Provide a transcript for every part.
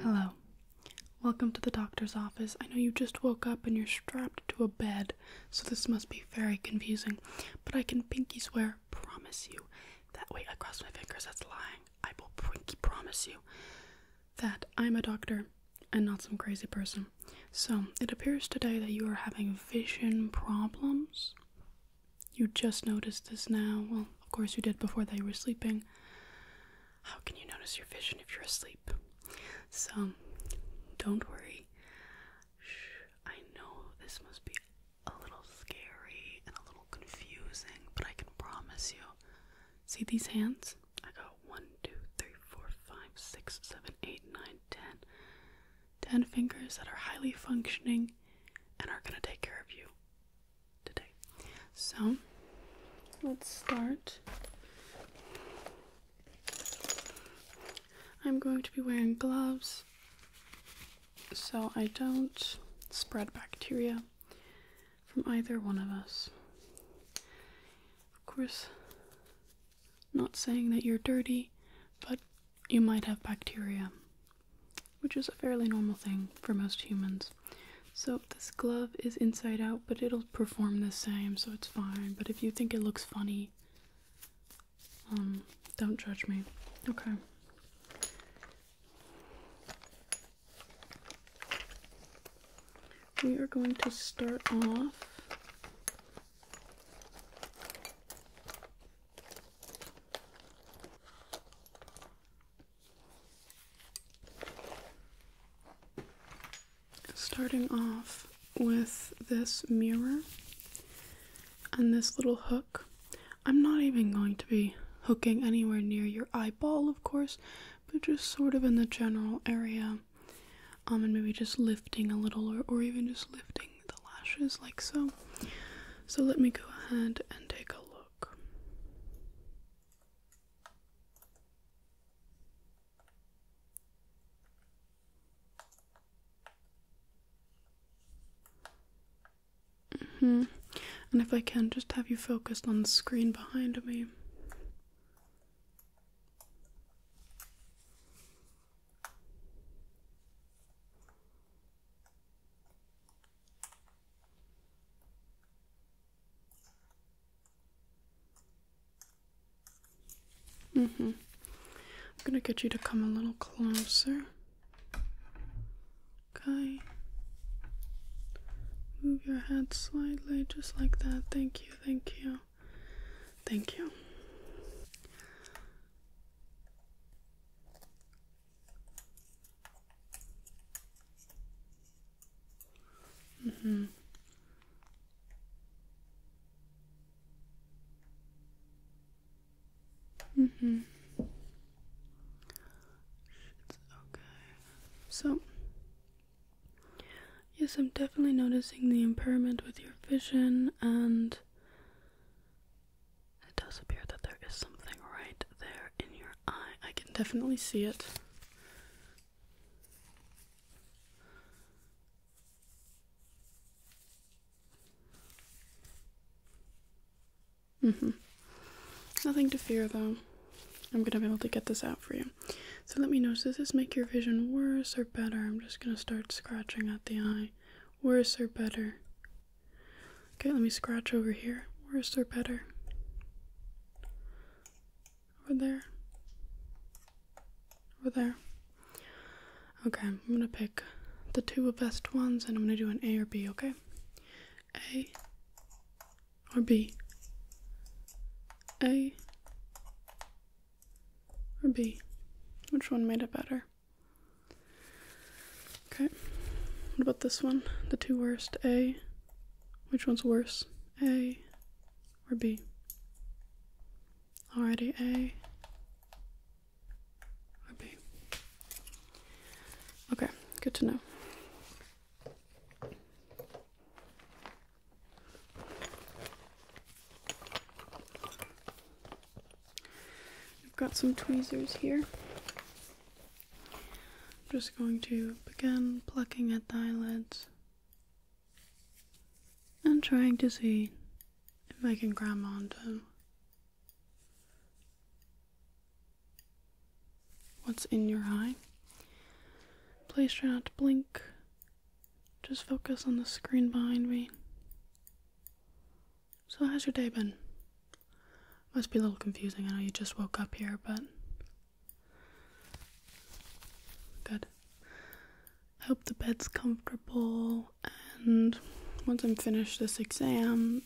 Hello. Welcome to the doctor's office. I know you just woke up and you're strapped to a bed, so this must be very confusing. But I can pinky swear, promise you, that way I cross my fingers, that's lying. I will pinky promise you that I'm a doctor and not some crazy person. So, it appears today that you are having vision problems. You just noticed this now. Well, of course you did before they were sleeping. How can you notice your vision if you're asleep? So, don't worry. Shh, I know this must be a little scary and a little confusing, but I can promise you. See these hands? I got one, two, three, four, five, six, seven, eight, nine, ten. Ten fingers that are highly functioning and are going to take care of you today. So let's start. I'm going to be wearing gloves so I don't spread bacteria from either one of us. Of course, not saying that you're dirty, but you might have bacteria, which is a fairly normal thing for most humans. So this glove is inside out, but it'll perform the same, so it's fine. But if you think it looks funny, um, don't judge me. Okay. We are going to start off Starting off with this mirror and this little hook. I'm not even going to be hooking anywhere near your eyeball, of course, but just sort of in the general area. Um, and maybe just lifting a little, or even just lifting the lashes like so. So let me go ahead and take a look. Mm-hmm. And if I can, just have you focused on the screen behind me. Mm hmm. I'm going to get you to come a little closer. Okay. Move your head slightly, just like that. Thank you, thank you, thank you. Mm-hmm. Mm-hmm. It's okay. So yes, I'm definitely noticing the impairment with your vision and it does appear that there is something right there in your eye. I can definitely see it. Mm-hmm. Nothing to fear though. I'm gonna be able to get this out for you. So let me know, does this make your vision worse or better? I'm just gonna start scratching at the eye. Worse or better? Okay, let me scratch over here. Where's there better? Over there. Over there. Okay, I'm gonna pick the two best ones and I'm gonna do an A or B, okay? A or B? A or B? Which one made it better? Okay. What about this one? The two worst. A. Which one's worse? A or B? Already A or B. Okay, good to know. I've got some tweezers here. I'm just going to begin plucking at the eyelids and trying to see if I can grab onto what's in your eye. Please try not to blink. Just focus on the screen behind me. So, how's your day been? Must be a little confusing. I know you just woke up here, but. Good. I hope the bed's comfortable, and once I'm finished this exam,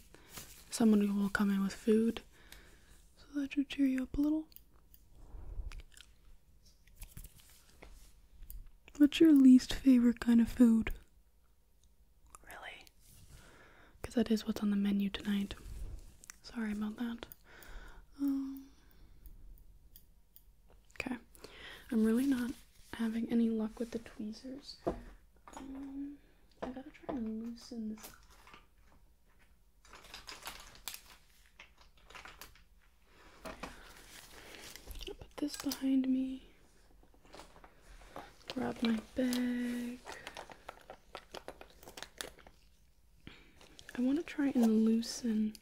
someone will come in with food so that should cheer you up a little. What's your least favorite kind of food? Really? Because that is what's on the menu tonight. Sorry about that. Um, okay. I'm really not having any luck with the tweezers. Um, I gotta try and loosen this. put this behind me. Grab my bag. I want to try and loosen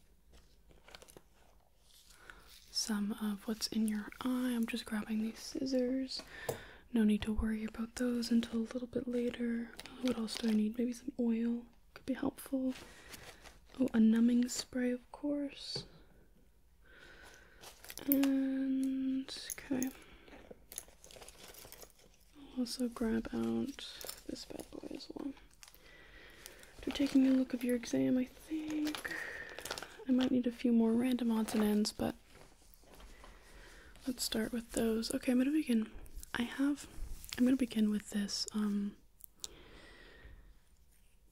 some of what's in your eye. I'm just grabbing these scissors. No need to worry about those until a little bit later. What else do I need? Maybe some oil. Could be helpful. Oh, a numbing spray, of course. And okay. I'll also grab out this bad boy as well. After taking a look of your exam, I think I might need a few more random odds and ends, but let's start with those. Okay, I'm gonna begin. I have I'm gonna begin with this um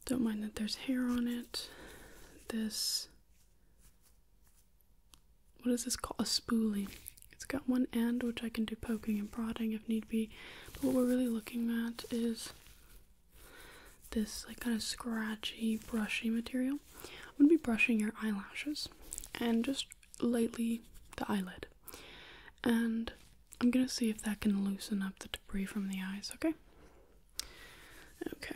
don't mind that there's hair on it. This, what is this called? A spoolie. It's got one end, which I can do poking and prodding if need be. But what we're really looking at is this like kind of scratchy, brushy material. I'm gonna be brushing your eyelashes and just lightly the eyelid. And I'm gonna see if that can loosen up the debris from the eyes, okay? Okay.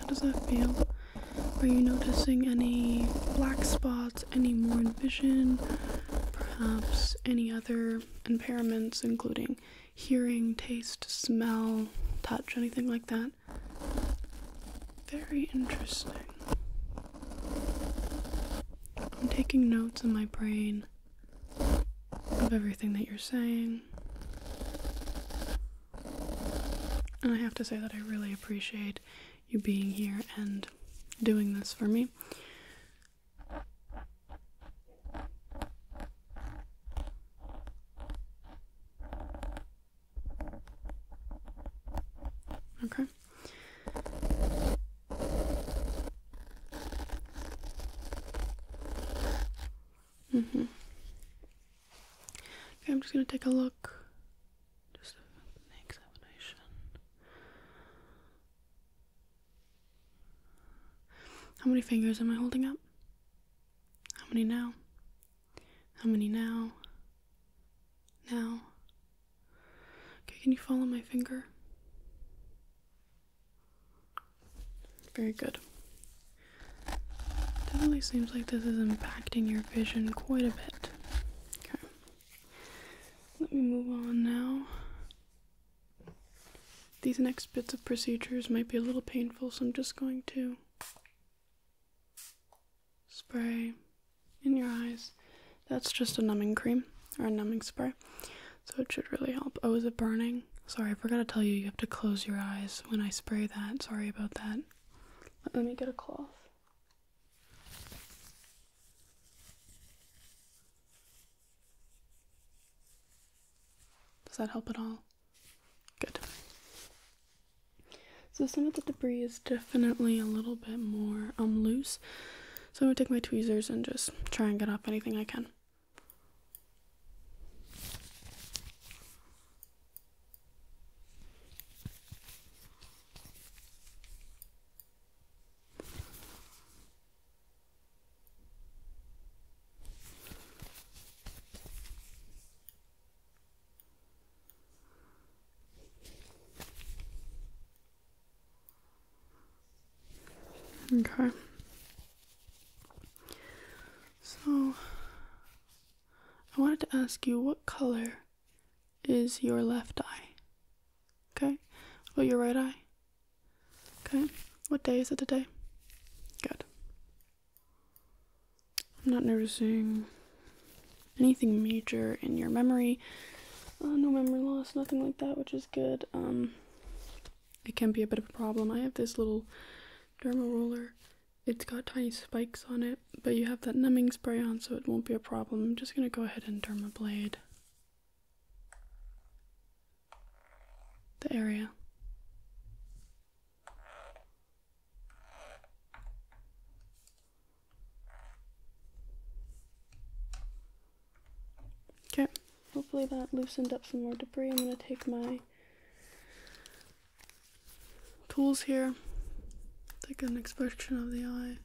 How does that feel? Are you noticing any black spots, any more vision, perhaps any other impairments, including hearing, taste, smell, touch, anything like that. Very interesting. I'm taking notes in my brain of everything that you're saying. And I have to say that I really appreciate you being here and doing this for me. Okay. Mm-hmm. Okay, I'm just gonna take a look. Just an examination. How many fingers am I holding up? How many now? How many now? Now? Okay, can you follow my finger? Very good. Definitely seems like this is impacting your vision quite a bit. Okay. Let me move on now these next bits of procedures might be a little painful, so I'm just going to spray in your eyes. That's just a numbing cream or a numbing spray, so it should really help. Oh, is it burning? Sorry, I forgot to tell you, you have to close your eyes when I spray that. Sorry about that. Let me get a cloth. Does that help at all? Good. So some of the debris is definitely a little bit more um loose. So I'm gonna take my tweezers and just try and get off anything I can. Okay. So I wanted to ask you what color is your left eye? Okay? Well, your right eye? Okay, what day is it today? Good. I'm not noticing anything major in your memory. Uh, no memory loss, nothing like that, which is good. Um, it can be a bit of a problem. I have this little derma roller. It's got tiny spikes on it, but you have that numbing spray on, so it won't be a problem. I'm just gonna go ahead and derma blade the area. Okay, hopefully that loosened up some more debris. I'm going to take my tools here, take an inspection of the eye.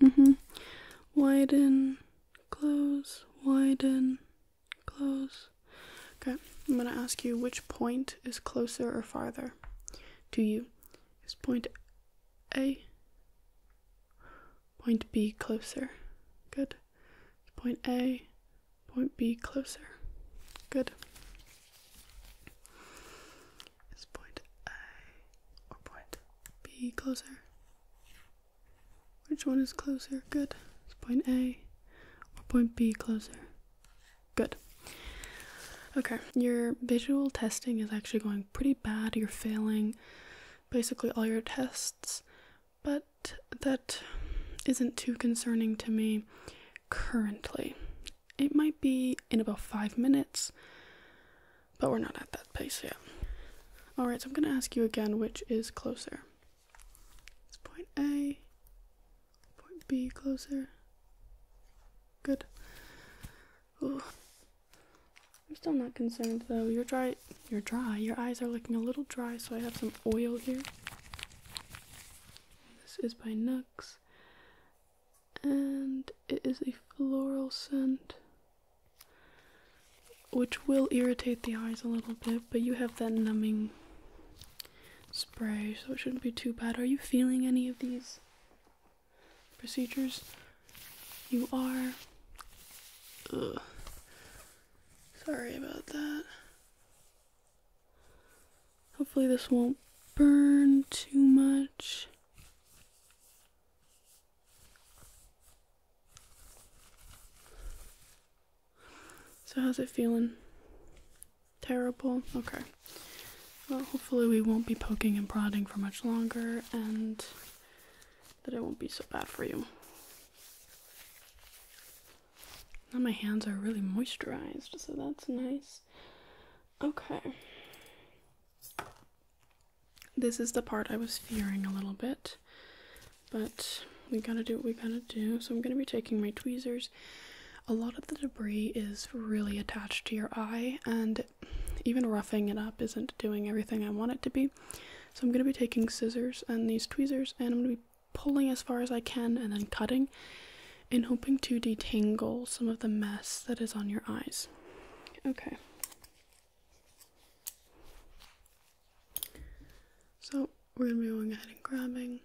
Mm-hmm. Widen, close, widen, close. Okay, I'm gonna ask you which point is closer or farther to you. Is point A, point B closer? Good point A, point B closer. Good. Is point A or point B closer? Which one is closer? Good. Is point A or point B closer? Good. Okay, your visual testing is actually going pretty bad. You're failing basically all your tests but that isn't too concerning to me currently. It might be in about five minutes, but we're not at that pace yet. Alright, so I'm going to ask you again which is closer. point A, point B closer. Good. I'm still not concerned though. You're dry. You're dry. Your eyes are looking a little dry, so I have some oil here. This is by Nux, and it is a floral scent, which will irritate the eyes a little bit. But you have that numbing spray, so it shouldn't be too bad. Are you feeling any of these procedures? You are. Sorry about that. Hopefully, this won't burn too much. So, how's it feeling? Terrible? Okay. Well, hopefully, we won't be poking and prodding for much longer, and that it won't be so bad for you. Now my hands are really moisturized, so that's nice. Okay. This is the part I was fearing a little bit, but we gotta do what we gotta do. So I'm gonna be taking my tweezers. A lot of the debris is really attached to your eye, and even roughing it up isn't doing everything I want it to be. So I'm going to be taking scissors and these tweezers and I'm going to be pulling as far as I can and then cutting in hoping to detangle some of the mess that is on your eyes. Okay. So we're going to be going ahead and grabbing.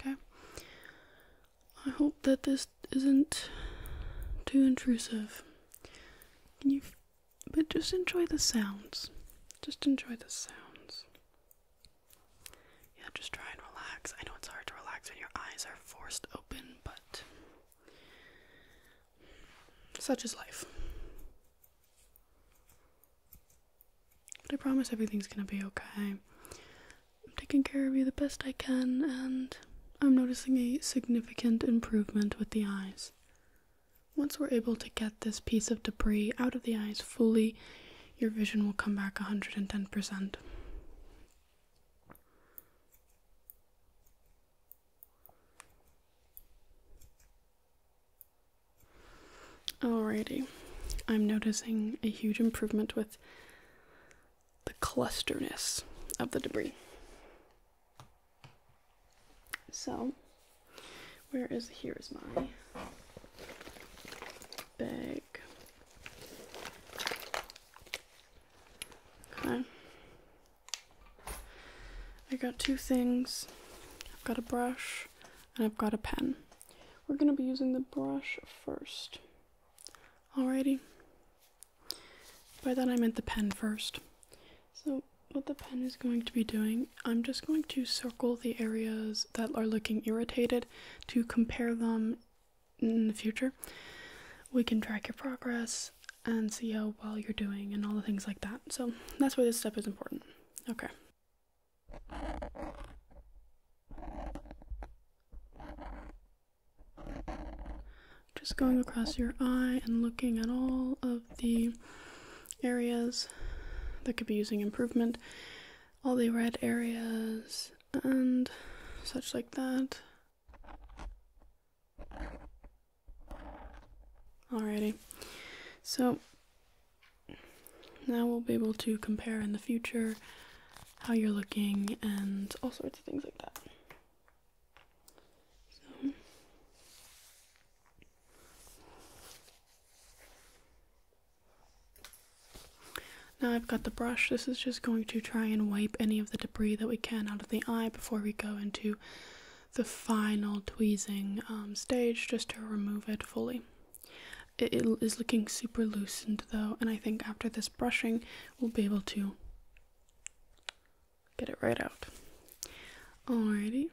Okay. I hope that this isn't too intrusive. Can you but just enjoy the sounds. Just enjoy the sounds. Yeah, just try and relax. I know it's hard to relax when your eyes are forced open, but such is life. But I promise everything's gonna be okay. I'm taking care of you the best I can, and I'm noticing a significant improvement with the eyes. Once we're able to get this piece of debris out of the eyes fully, your vision will come back 110%. Alrighty, I'm noticing a huge improvement with the clusterness of the debris. So, where is here is my bag. Okay. I got two things. I've got a brush and I've got a pen. We're going to be using the brush first. Alrighty. By that I meant the pen first. So what the pen is going to be doing, I'm just going to circle the areas that are looking irritated to compare them in the future. We can track your progress and see how well you're doing and all the things like that. So that's why this step is important. Okay. Just going across your eye and looking at all of the areas that could be using improvement, all the red areas, and such like that. Alrighty. So now we'll be able to compare in the future how you're looking and all sorts of things like that. Now I've got the brush. This is just going to try and wipe any of the debris that we can out the eye before we go into the final tweezing um, stage just to remove it fully. it is looking super loosened though, and I think after this brushing, we'll be able to get it right out. Alrighty.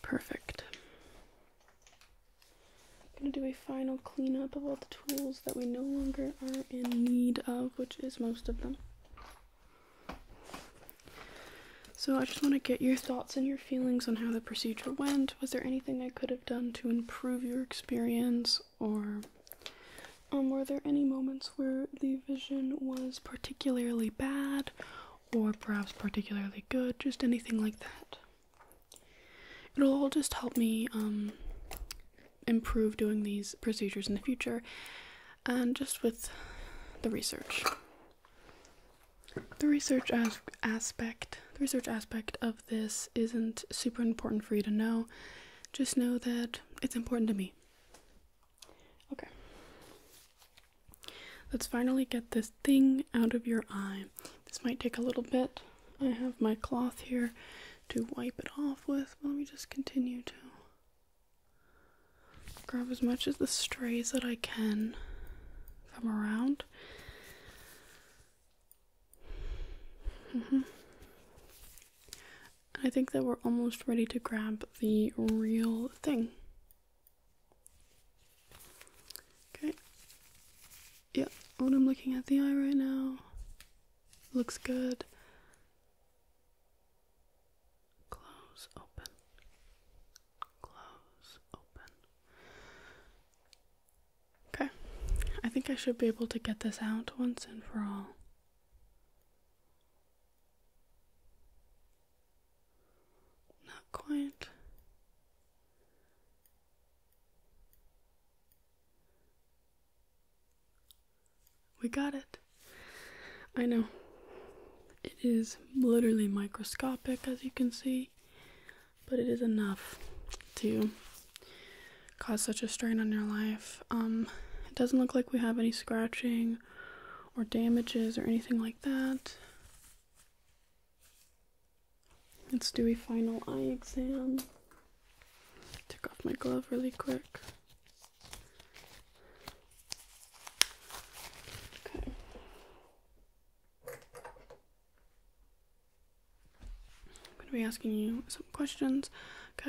Perfect. I'm going to do a final cleanup of all the tools that we no longer are in need of, which is most of them. So I just want to get your thoughts and your feelings on how the procedure went was there anything I could have done to improve your experience, or um, were there any moments where the vision was particularly bad, or perhaps particularly good? Just anything like that. It'll all just help me um, improve doing these procedures in the future, and just with the research the research aspect the research aspect of this isn't super important for you to know just know that it's important to me okay let's finally get this thing out of your eye this might take a little bit i have my cloth here to wipe it off with let me just continue to grab as much of the strays that i can if i around. -hmm. I think that we're almost ready to grab the real thing. Okay. Yeah, when I'm looking at the eye right now, looks good. Close, open. Close, open. Okay, I think I should be able to get this out once and for all. Not quite. We got it. I know. It is literally microscopic, as you can see but it is enough to cause such a strain on your life. Um, it doesn't look like we have any scratching or damages or anything like that. Let's do a final eye exam. Take off my glove really quick. Okay. I'm going to be asking you some questions.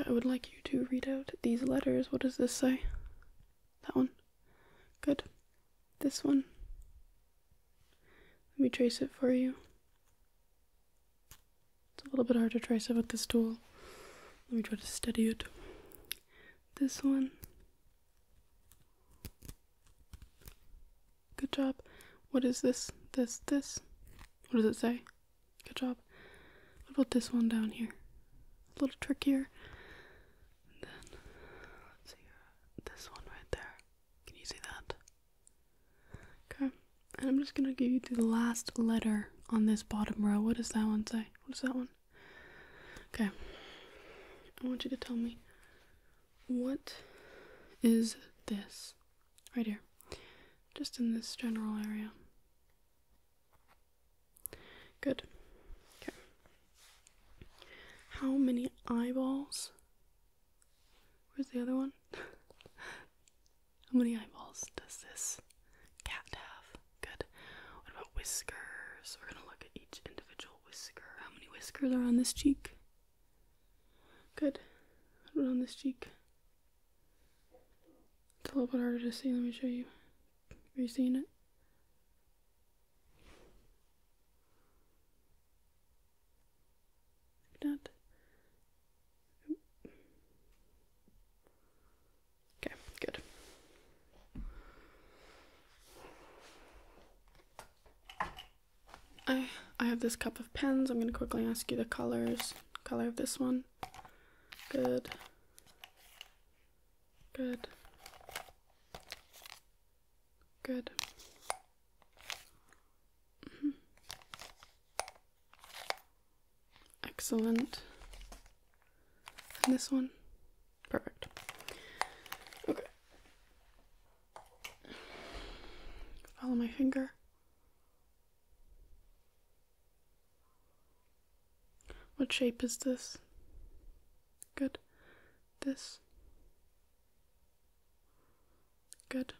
I would like you to read out these letters. What does this say? That one? Good. This one? Let me trace it for you. It's a little bit hard to trace it with this tool. Let me try to steady it. This one. Good job. What is this? This, this. What does it say? Good job. What about this one down here? A little trickier. then, let's see, uh, this one right there. Can you see that? Okay. And I'm just gonna give you the last letter on this bottom row. What does that one say? What is that one? Okay. I want you to tell me what is this? Right here. Just in this general area. Good. Okay. How many eyeballs? Where's the other one? How many eyeballs does this cat have? Good. What about whiskers? We're gonna look at each individual whisker. How many whiskers are on this cheek? Good. on this cheek? It's a little bit harder to see. Let me show you. Are you seeing it? That. Okay, good. I, I have this cup of pens. I'm going to quickly ask you the colors. Color of this one. Good. Good. Good. Mm-hmm. Excellent. And this one. Perfect. Okay. Follow my finger. What shape is this? Good. This. Good.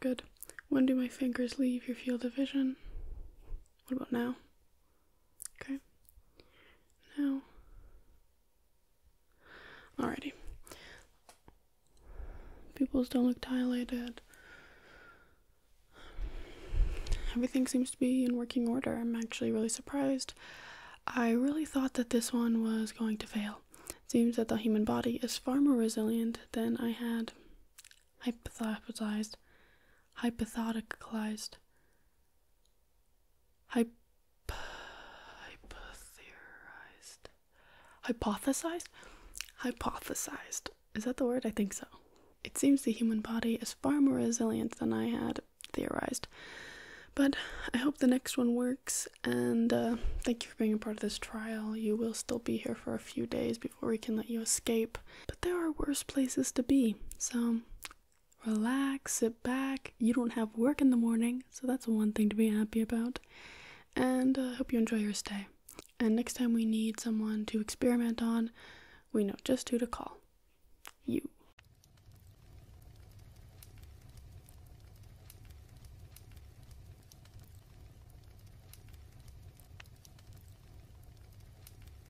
Good. When do my fingers leave your field of vision? What about now? Okay. Now. Alrighty. People's don't look dilated. Everything seems to be in working order. I'm actually really surprised. I really thought that this one was going to fail. seems that the human body is far more resilient than I had hypothesized, hypotheticalized, Hyp hypotheorized. Hypothesized? Hypothesized. Is that the word? I think so. It seems the human body is far more resilient than I had theorized. But I hope the next one works, and uh, thank you for being a part of this trial. You will still be here for a few days before we can let you escape, but there are worse places to be, so relax, sit back. You don't have work in the morning, so that's one thing to be happy about. And I uh, hope you enjoy your stay. And next time we need someone to experiment on, we know just who to call. You.